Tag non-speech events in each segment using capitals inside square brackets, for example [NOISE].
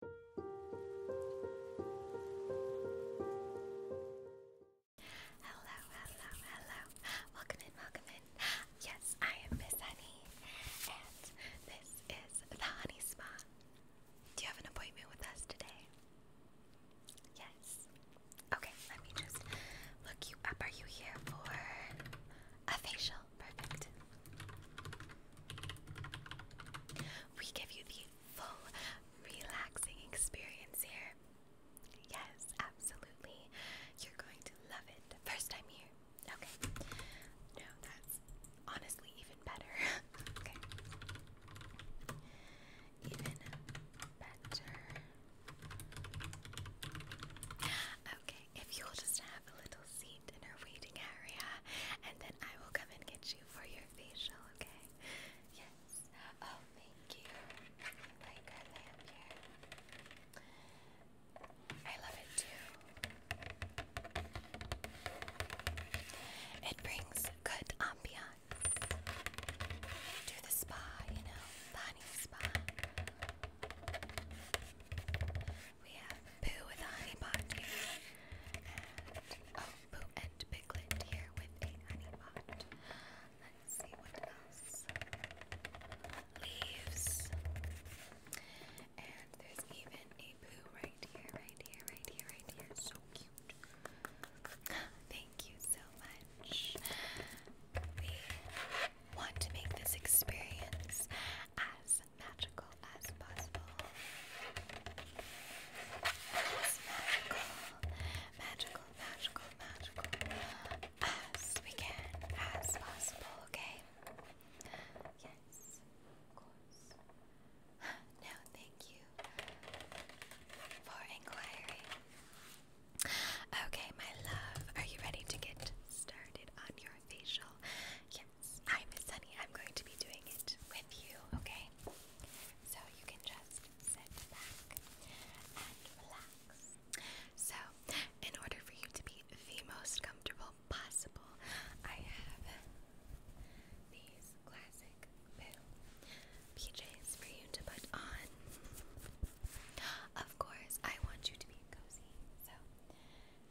Hello, hello, hello. Welcome in, welcome in. Yes, I am Miss Honey, and this is the Honey Spa. Do you have an appointment with us today? Yes. Okay, let me just look you up. Are you here for a facial? Perfect we give you the full relaxing experience here. Yes, absolutely. You're going to love it. First time here. Okay. No, that's honestly even better. [LAUGHS] okay. Even better. Okay, if you'll just have a little seat in our waiting area and I will come and get you for your facial, okay? Yes. Oh, thank you. Like our lamp I love it too. It brings good ambiance to the spa, you know, Bonnie Spa. We have Boo with a honey pot And oh, Boo and Piglet here with a honey pot. Let's see what else. Leaves. And there's even a Boo right here, right here, right here, right here. So cute. [GASPS] Thank you so much. We want to make this experience as magical as possible. magical, magical, magical, as we can, as possible, okay? Yes, of course. Now, thank you for inquiring. Okay, my love, are you ready to get started on your facial? Yes, Hi, Miss Sunny. I'm going to be doing it with you, okay? So you can just sit back and relax. So, in order for you to be the most comfortable possible, I have these classic pajamas for you to put on. Of course, I want you to be cozy, so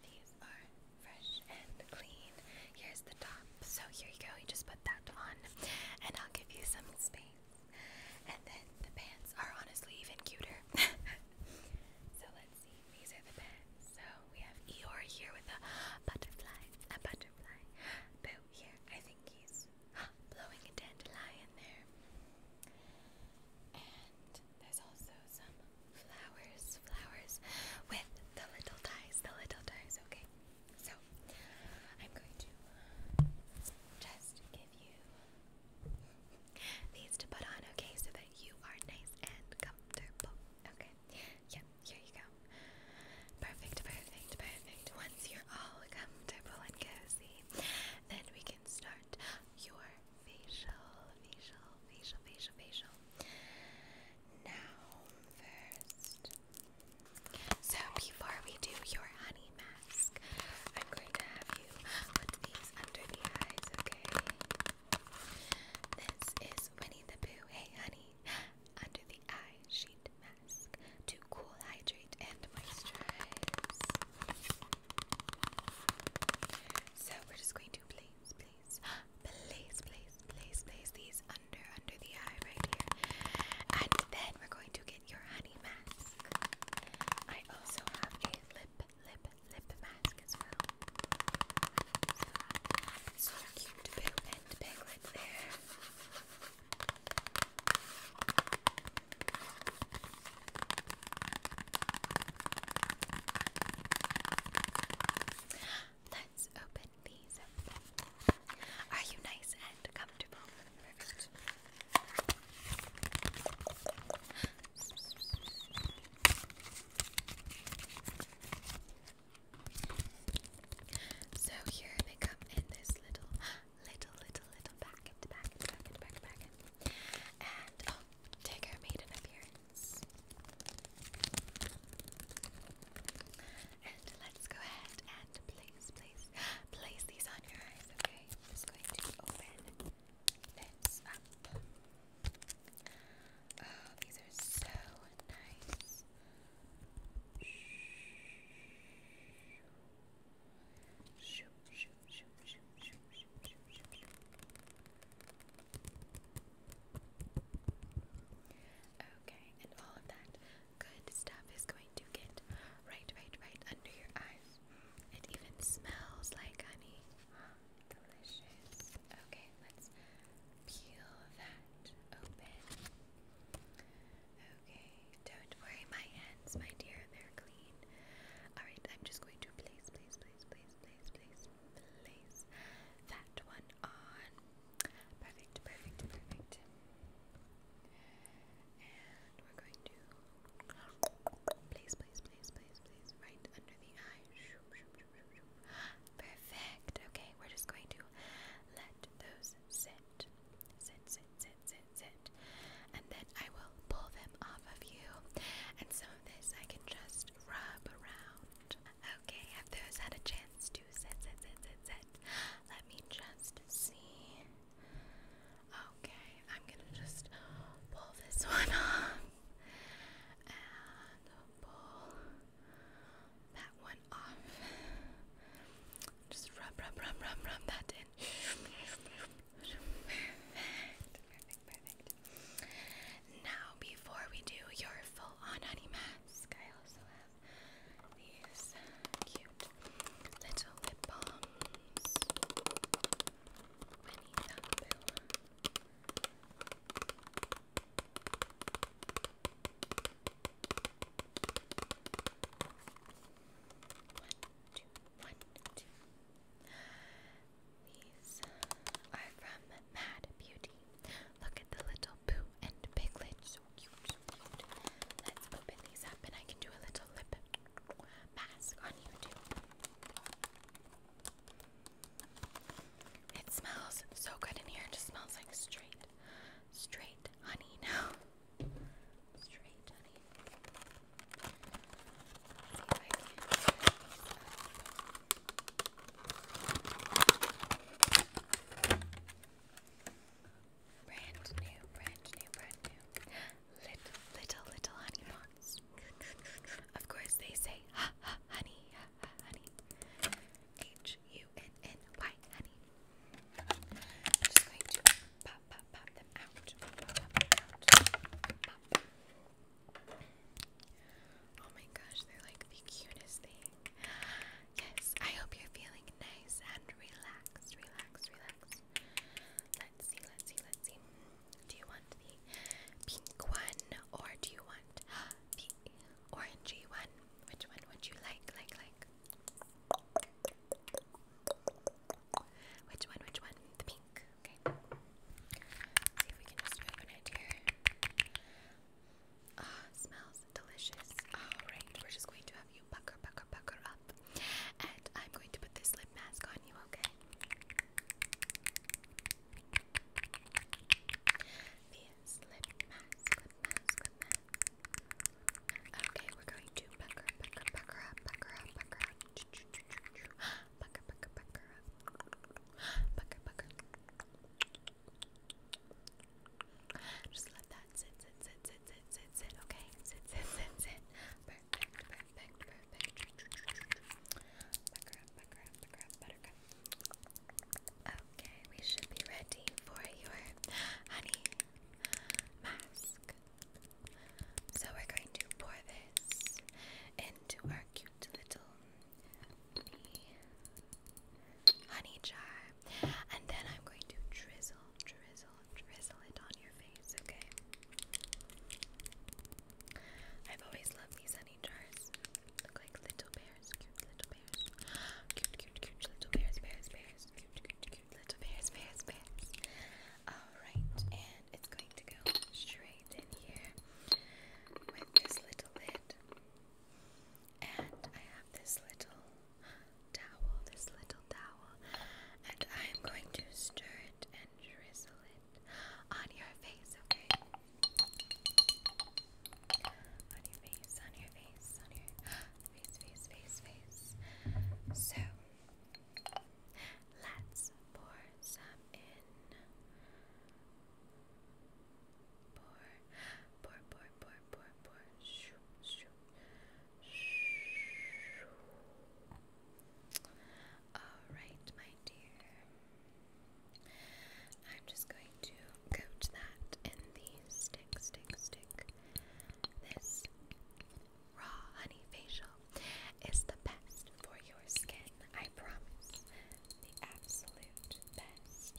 these are fresh and clean. Here's the top. So here you go. You just put that on, and I'll give you some space. And then the pants are honestly even cuter. [LAUGHS] so let's see. These are the pants. So we have Eeyore here with a butterfly, a butterfly. Boo here. I think he's blowing a dandelion there. And there's also some flowers, flowers with the little ties, the little ties, okay? So, I'm going to just give you these to put on, okay, so that you are nice and comfortable, okay? yeah, here you go. Perfect, perfect, perfect. Once you're all comfortable and cozy, then we can start your facial, facial, facial, facial, facial now first. So before we do your honey mask, I'm going to have you put these under the eyes, okay? This is Winnie the Pooh, hey honey, under the eye sheet mask to cool, hydrate, and moisturize. So we're just going to place, Place, place, place, place these under under the eye right here. And then we're going to get your honey mask. I also have a lip, lip, lip mask as well. So, cute boo and piglet there. Let's open these Are you nice and comfortable? Perfect. So here they come in this little, little, little, little packet, packet, packet, packet, packet. And oh, Tigger made an appearance. And let's go ahead and place, place, place these on your eyes, okay? I'm just going to open this up. Oh, these are so nice. Shoop, shoop, shoop, shoop, shoop, shoop, shoop, shoop, shoop. Okay, and all of that good stuff is going to get right, right, right under your eyes. It even smells like honey. Delicious. Okay, let's peel that open. Okay, don't worry, my hands, my dear, they're clean. Alright, I'm just going to place, place, place, place, place, place, place that one on. Perfect, perfect, perfect. And we're going to place, place, place, place, place, right under the eye. Perfect. Okay, we're just going to let those sit. Sit, sit, sit, sit, sit. And then I will pull them off of you. And some of this I can just rub around. Okay, have those had a chance to set, set, set, set, set? Let me just see. Okay, I'm gonna just pull this [LAUGHS] one off and pull that one off. Just rub, rub, rub, rub, rub that in. Perfect, perfect, perfect. Now, before we do your full on honey mask, I also have these cute little lip balms. I need that pill. One, two, one, two. These are from Mad Beauty. Look at the little Pooh and Piglet. So cute, Let's open these up and I can do a little lip mask on you It smells so good in here. It just smells like straight, straight honey now. Straight honey. Brand new, brand new, brand new. Little, little, little honey pots. of course, they say ha ha honey, ha honey. H U N N Y honey. I'm just going to pop, pop, pop them out. Oh my gosh, they're like the cutest thing. Yes, I hope you're feeling nice and relaxed, relaxed, relaxed. Let's see, let's see, let's see. Do you want the pink one or do you want [GASPS] the orangey one? Which one would you like, like, like? Which one, which one? The pink, okay. Let's see if we can just open it here. Ah, oh, smells delicious. Alright, we're just going to have you pucker, pucker, pucker up. And I'm going to put this lip mask on you, okay? lip mask, lip mask, lip mask. Okay, we're going to pucker, pucker, pucker up, pucker up, pucker up. [GASPS] Pucker, pucker, pucker up. Pucker, pucker. Just let that sit, sit, sit, sit, sit, sit, sit, okay? Sit, sit, sit, sit. Perfect, perfect, perfect. Okay, we should be ready for your honey mask. So we're going to pour this into our cute little honey jar. And then I'm going to drizzle, drizzle, drizzle it on your face, okay? I've always loved these honey jars. Look like little bears, cute little bears. Cute, cute, cute little bears, bears, bears. Cute, cute, cute little bears, bears, bears. Alright, and it's going to go straight in here with this little lid. And I have this little towel, this little towel, and I'm going to stir it and drizzle it on your face, okay? On your face, on your face, on your face, face, face, face. So, let's pour some in. Pour, pour, pour, pour, pour, pour. Shoo, shoo, shoo. All right, my dear. I'm just going to coat that in the stick, stick, stick. This raw honey facial is the best for your skin. I promise. The absolute best.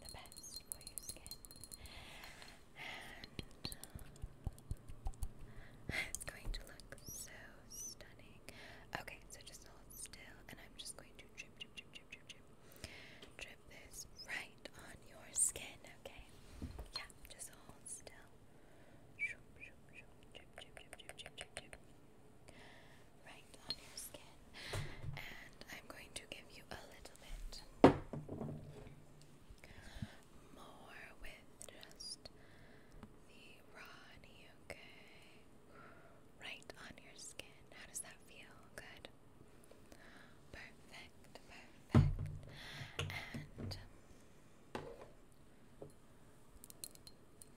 The best your skin. And um, [SIGHS] it's going to look so stunning. Okay, so just hold still, and I'm just going to drip, drip, drip, drip, drip, drip, drip this right on your skin. Okay, yeah, just hold still right on your skin. And I'm going to give you a little bit more with just the Ronnie, okay? Right on your skin. How does that feel? Good. Perfect, perfect. And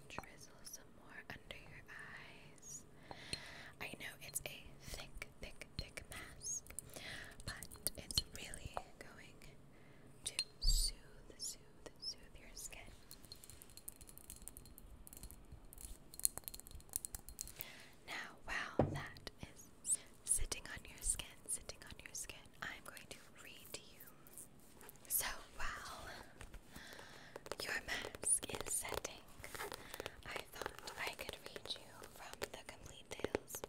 drizzle some more under your eyes. I know it's a thick, thick, thick mask, but it's really going to soothe, soothe, soothe your skin. Now, while that is sitting on your skin, sitting on your skin, I'm going to read to you. So, while your mask is setting. I thought I could read you from the complete tales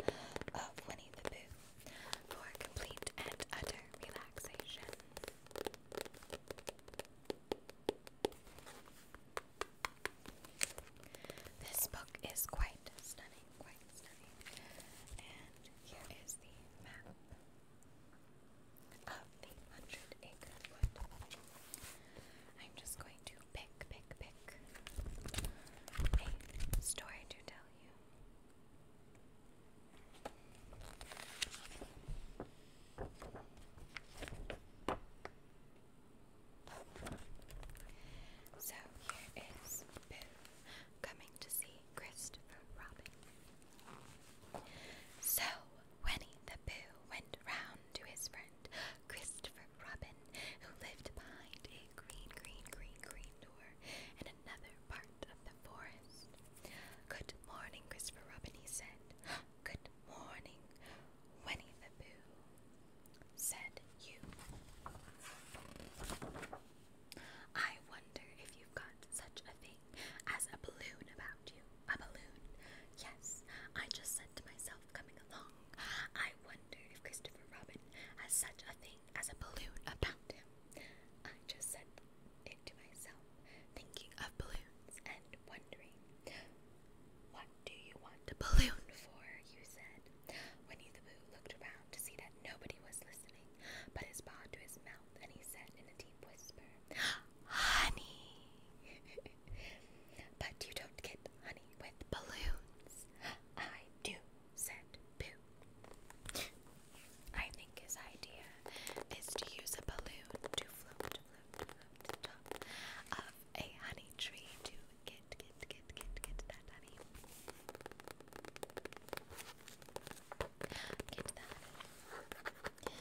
of Winnie the Pooh for complete and utter relaxation. This book is quite stunning, quite stunning. And here is the map of the Hundred Acre I'm just going to pick, pick, pick a story to tell you. So here is Boo coming to see Christopher Robin. So Winnie the Pooh went round to his friend Christopher Robin, who lived behind a green, green, green, green door in another part of the forest. Good morning, Christopher Robin, he said. [GASPS] Good morning, Winnie the Pooh, said you. I wonder if you've got such a thing as a balloon about you. A balloon? Yes, I just said to myself coming along. I wonder if Christopher Robin has such a thing as a balloon about him. I just said it to myself, thinking of balloons and wondering. What do you want a balloon for? you said. Winnie the Pooh looked around to see that nobody was listening, put his paw to his mouth, and he said in a deep whisper, Honey! But you don't get honey with balloons. I do, said Boo. I think his idea is to use a balloon to float, to the top of a honey tree to get, get, get, get, get that honey. Get that.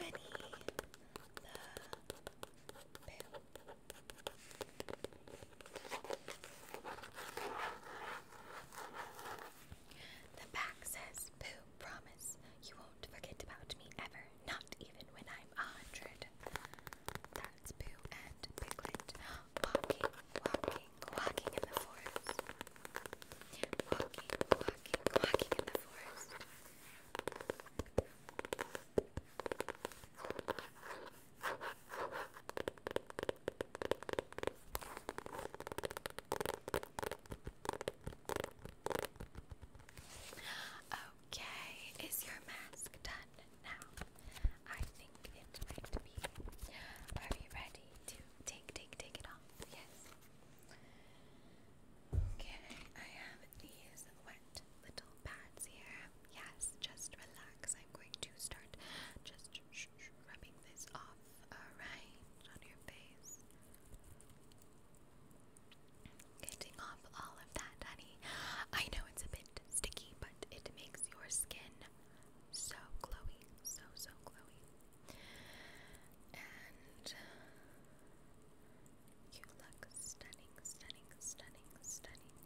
Rennie the the back says, Boo, promise you won't forget about me ever, not even when I'm a hundred. That's Boo and Piglet walking, walking, walking in the forest. Walking, walking, walking in the forest. Okay, is your mask done now? I think it might be. Are you ready to take, take, take it off? Yes. Okay, I have these wet little pads here. Yes, just relax. I'm going to start just rubbing this off, alright, on your face. Getting off all of that, honey. I know it's a bit sticky, but it makes your skin so glowy, so, so glowy. And you look stunning, stunning, stunning, stunning.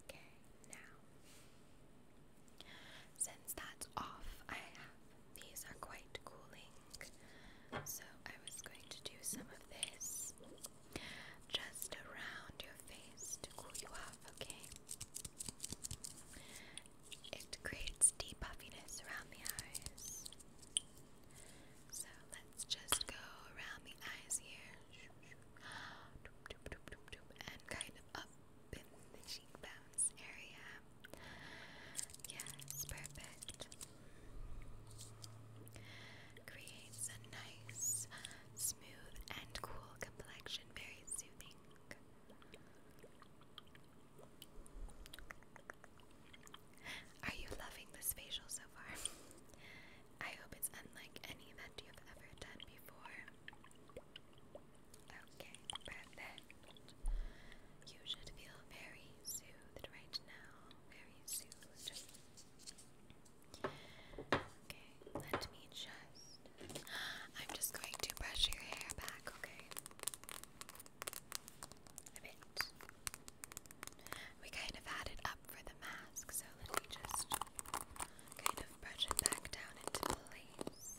Okay, now, since that's off, I have these are quite cooling, so I was going to do some of this just around your face to cool you off, okay? It creates deep puffiness around the eyes. So let's just go around the eyes here and kind of up in the cheekbones area. Yes, perfect. Creates a nice, smooth, and cool complexion, very soothing. Are you loving this facial so far? I hope it's unlike any that you've ever done before. Okay, perfect. You should feel very soothed right now. Very soothed. Okay, let me just. I'm just going to brush your hair back, okay? a bit. We kind of had it up for the mask, so let me just kind of brush it back down into place.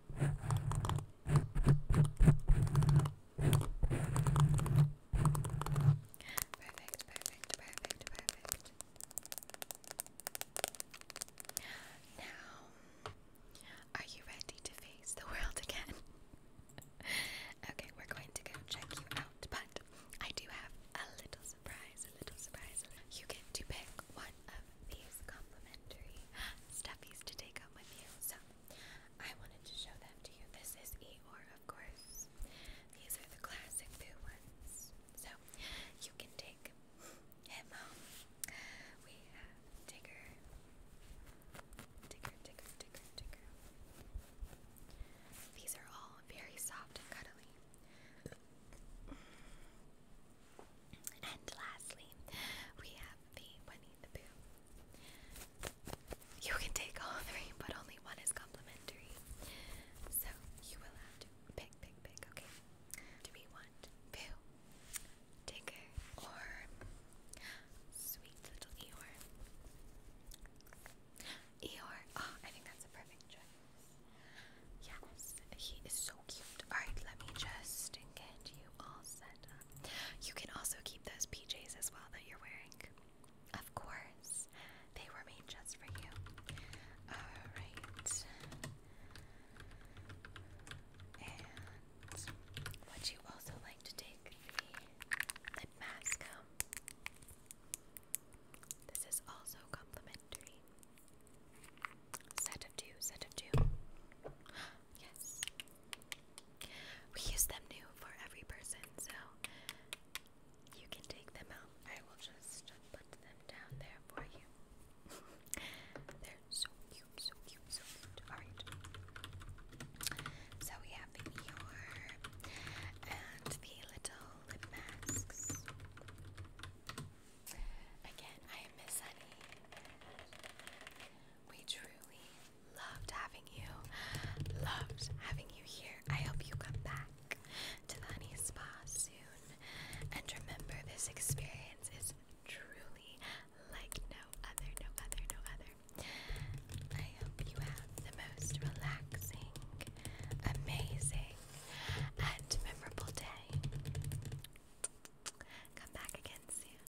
Perfect, perfect, perfect, perfect. Now, are you ready to face the world again? [LAUGHS] okay, we're going to go check you out, but I do have a little surprise, a little surprise. You get to pick one of these complimentary stuffies to take home with you. So I wanted to show them to you. This is Eeyore, of course. These are the classic blue ones. So you can take him home. We have Tigger. Tigger, Tigger, Tigger, These are all very soft and cuddly. And lastly, we have the Winnie the Pooh. You can take all three, but only one is complimentary. So you will have to pick, pick, pick, okay? Do we want Boo, Tinker, or Sweet Little Eeyore? Eeyore. Oh, I think that's a perfect choice. Yes, he is so cute. Alright, let me just get you all set um, you can also keep those PJs as well that you're wearing. Of course, they were made just for you. All right. would you also like to take the mask um? This is also complimentary. Set of two, set of two. [GASPS] Yes, we use them new for every person, so you can take them out. I will just put them down there for you. [LAUGHS] They're so cute, so cute, so cute. Alright. So we have the Eeyore and the little lip masks. Again, I Miss Honey. We truly loved having you. Loved having you here. I hope you come back to the Honey Spa soon. And remember, this experience is truly like no other, no other, no other. I hope you have the most relaxing, amazing, and memorable day. Come back again soon.